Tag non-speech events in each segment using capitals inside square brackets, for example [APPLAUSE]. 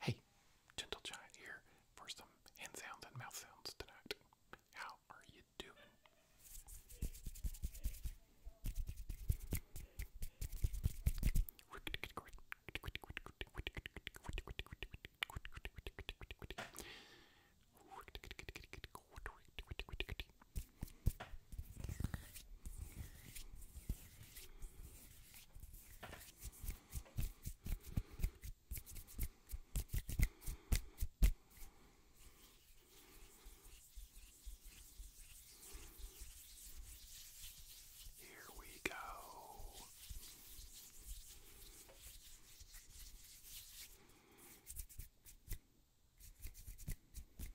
Hey, Gentle Giant here for some hand sounds and mouth sounds tonight. How are you doing? Here we go. Here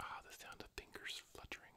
Ah, the sound of fingers fluttering.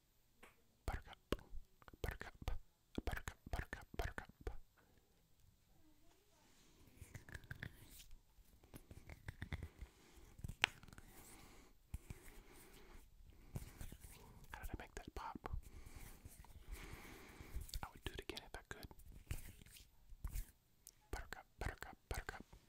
Buttercup, buttercup, buttercup, buttercup, buttercup. How did I make that pop? I would do it again if I could. Buttercup, buttercup, buttercup.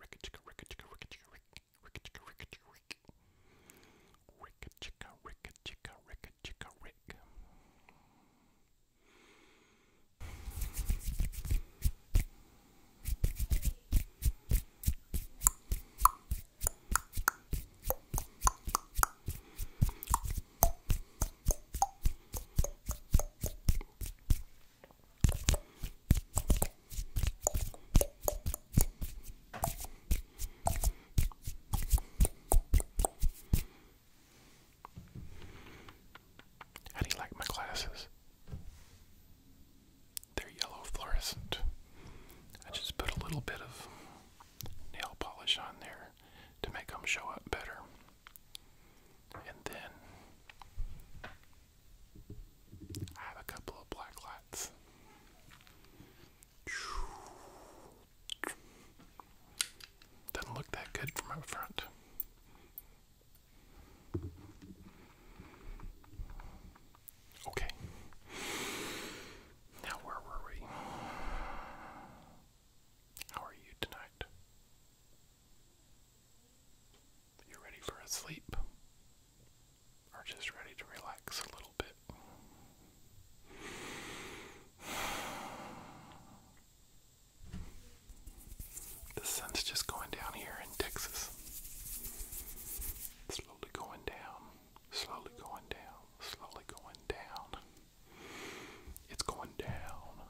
Ricka chicka ricka chicka ricka chicka rick ricka chicka ricka chicka rick Ricka chicka ricka chicka ricka chicka rick how do you like my glasses? They're yellow fluorescent. I just put a little bit of nail polish on there to make them show up better. And then I have a couple of black lights. Doesn't look that good from up front. Okay. Now, where were we? How are you tonight? You are ready for a sleep? Or just ready to relax a little bit? [SIGHS] The sun's just going down here in Texas. Slowly going down, slowly going down, slowly going down. It's going down,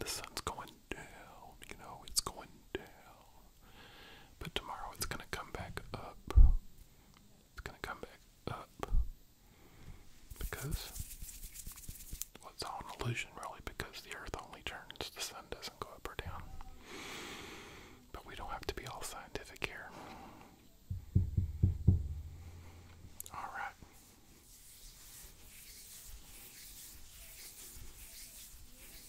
the sun's going down, you know, it's going down. But tomorrow it's gonna come back up. It's gonna come back up. Because it's all an illusion really because the earth only turns, the sun doesn't go up or down. But we don't have to be all scientific here. Alright.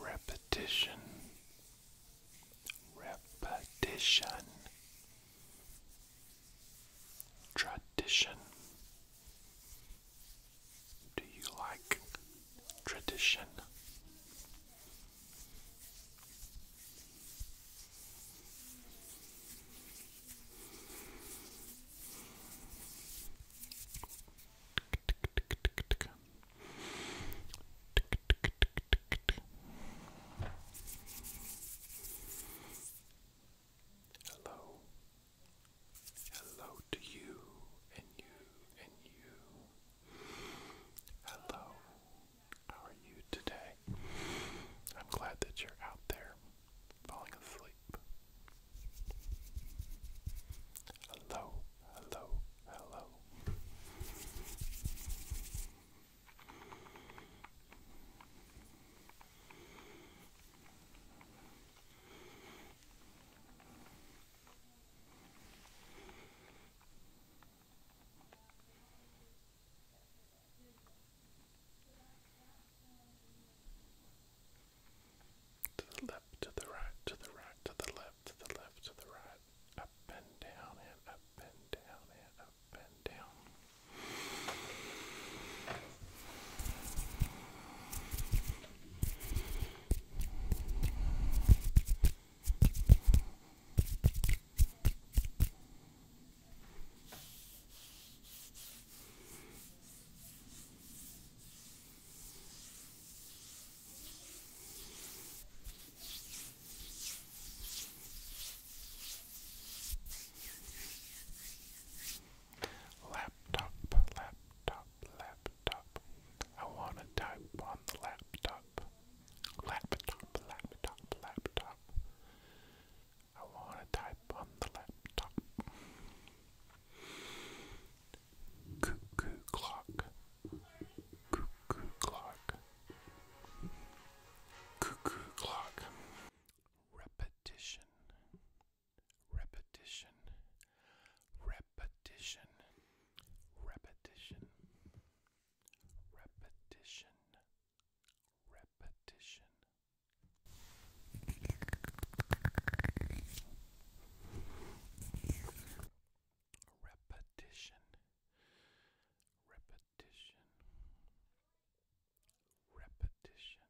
Repetition, repetition, tradition. Do you like tradition? Hello. Hello to you and you and you. Hello. How are you today? I'm glad that you're out there falling asleep. Hello, hello, hello. To the left, to the right, to the right, to the left, to the left, to the right. Up and down and up and down and up and down. Laptop, laptop, laptop. I want to type on the laptop. Laptop, laptop, laptop. I want to type on the laptop. Cuckoo clock. Cuckoo clock. Cuckoo clock. Repetition. Repetition. Repetition. Repetition. Repetition repetition. Repetition. Repetition. Repetition.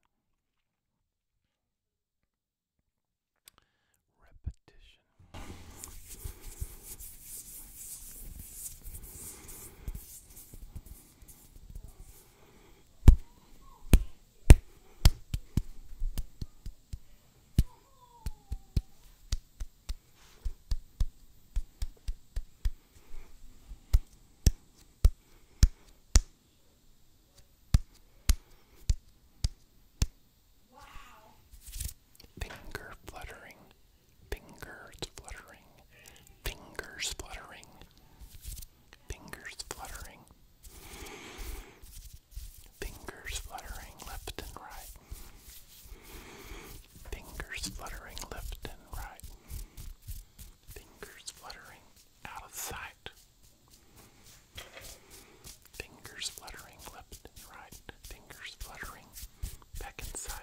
Repetition. Finger fluttering Fingers fluttering. Fingers fluttering. Fingers fluttering. Fingers fluttering left and right. Fingers fluttering left and right. Fingers fluttering out of sight. Fingers fluttering left and right. Fingers fluttering back inside.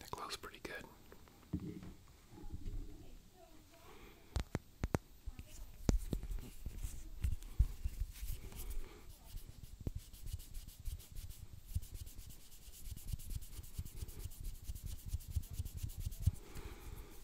That glows pretty good.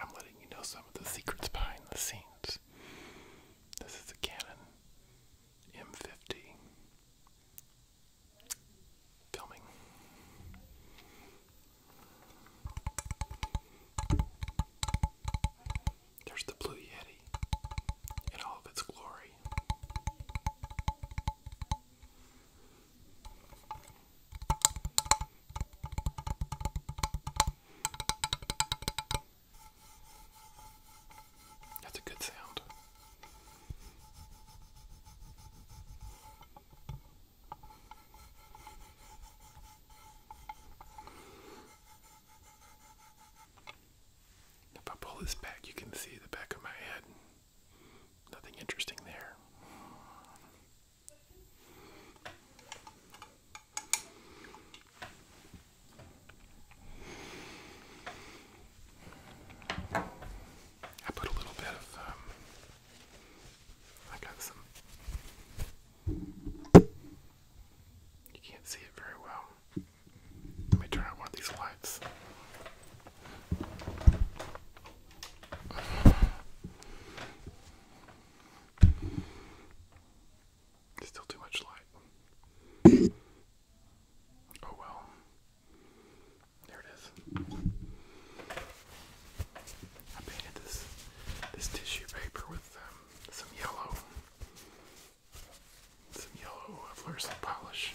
I'm letting you know some of the secrets behind the scenes. This is a Canon M50 filming. There's the Blue Yeti in all of its glory. That's a good sound. If I pull this back, you can see the back of my head. Nothing interesting there. I put a little bit of, um, I got some, you can't see it very well. Let me turn on one of these lights. Still too much light. Oh well. There it is. I painted this this tissue paper with um, some yellow some yellow fluorescent polish.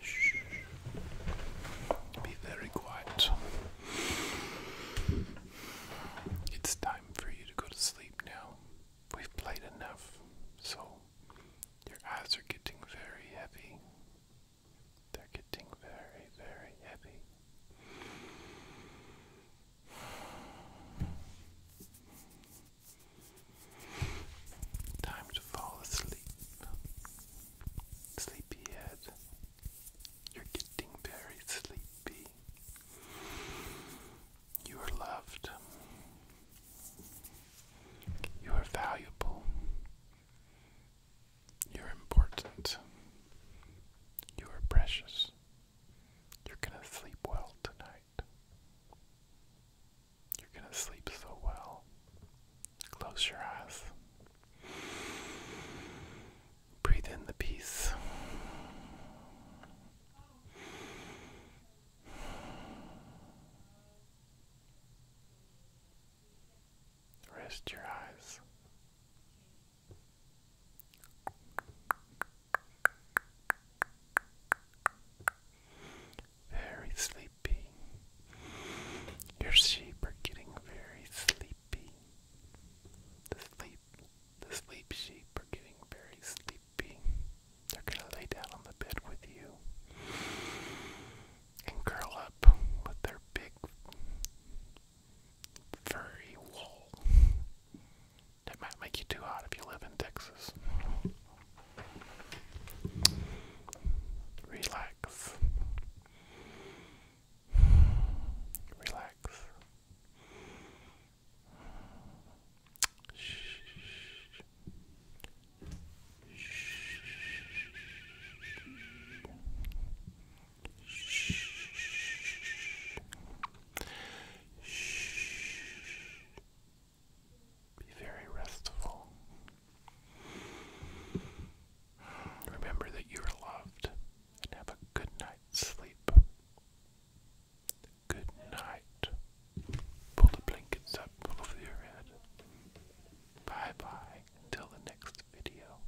Shh. Be very quiet. It's time for you to go to sleep now. We've played enough, so your eyes are getting very heavy. They're getting very, very heavy. Time to fall asleep. Sleepyhead, you're getting very sleepy. You are loved. You are valuable. You're important. You are precious. You're going to sleep well tonight. You're going to sleep so well. Close your eyes. Breathe in the peace. Rest your eyes. Very sleepy. Your sheep are getting very sleepy. The sleep the sleep sheep are getting very sleepy. They're gonna lay down on the bed with you and curl up with their big furry wool. That might make you too hot if you live in Texas. Relax. Relax. Shh. Shh. Shh. Shh. Shh. Be very restful. Remember that you are loved and have a good night's sleep. Good night. Pull the blankets up over your head. Bye bye until the next video.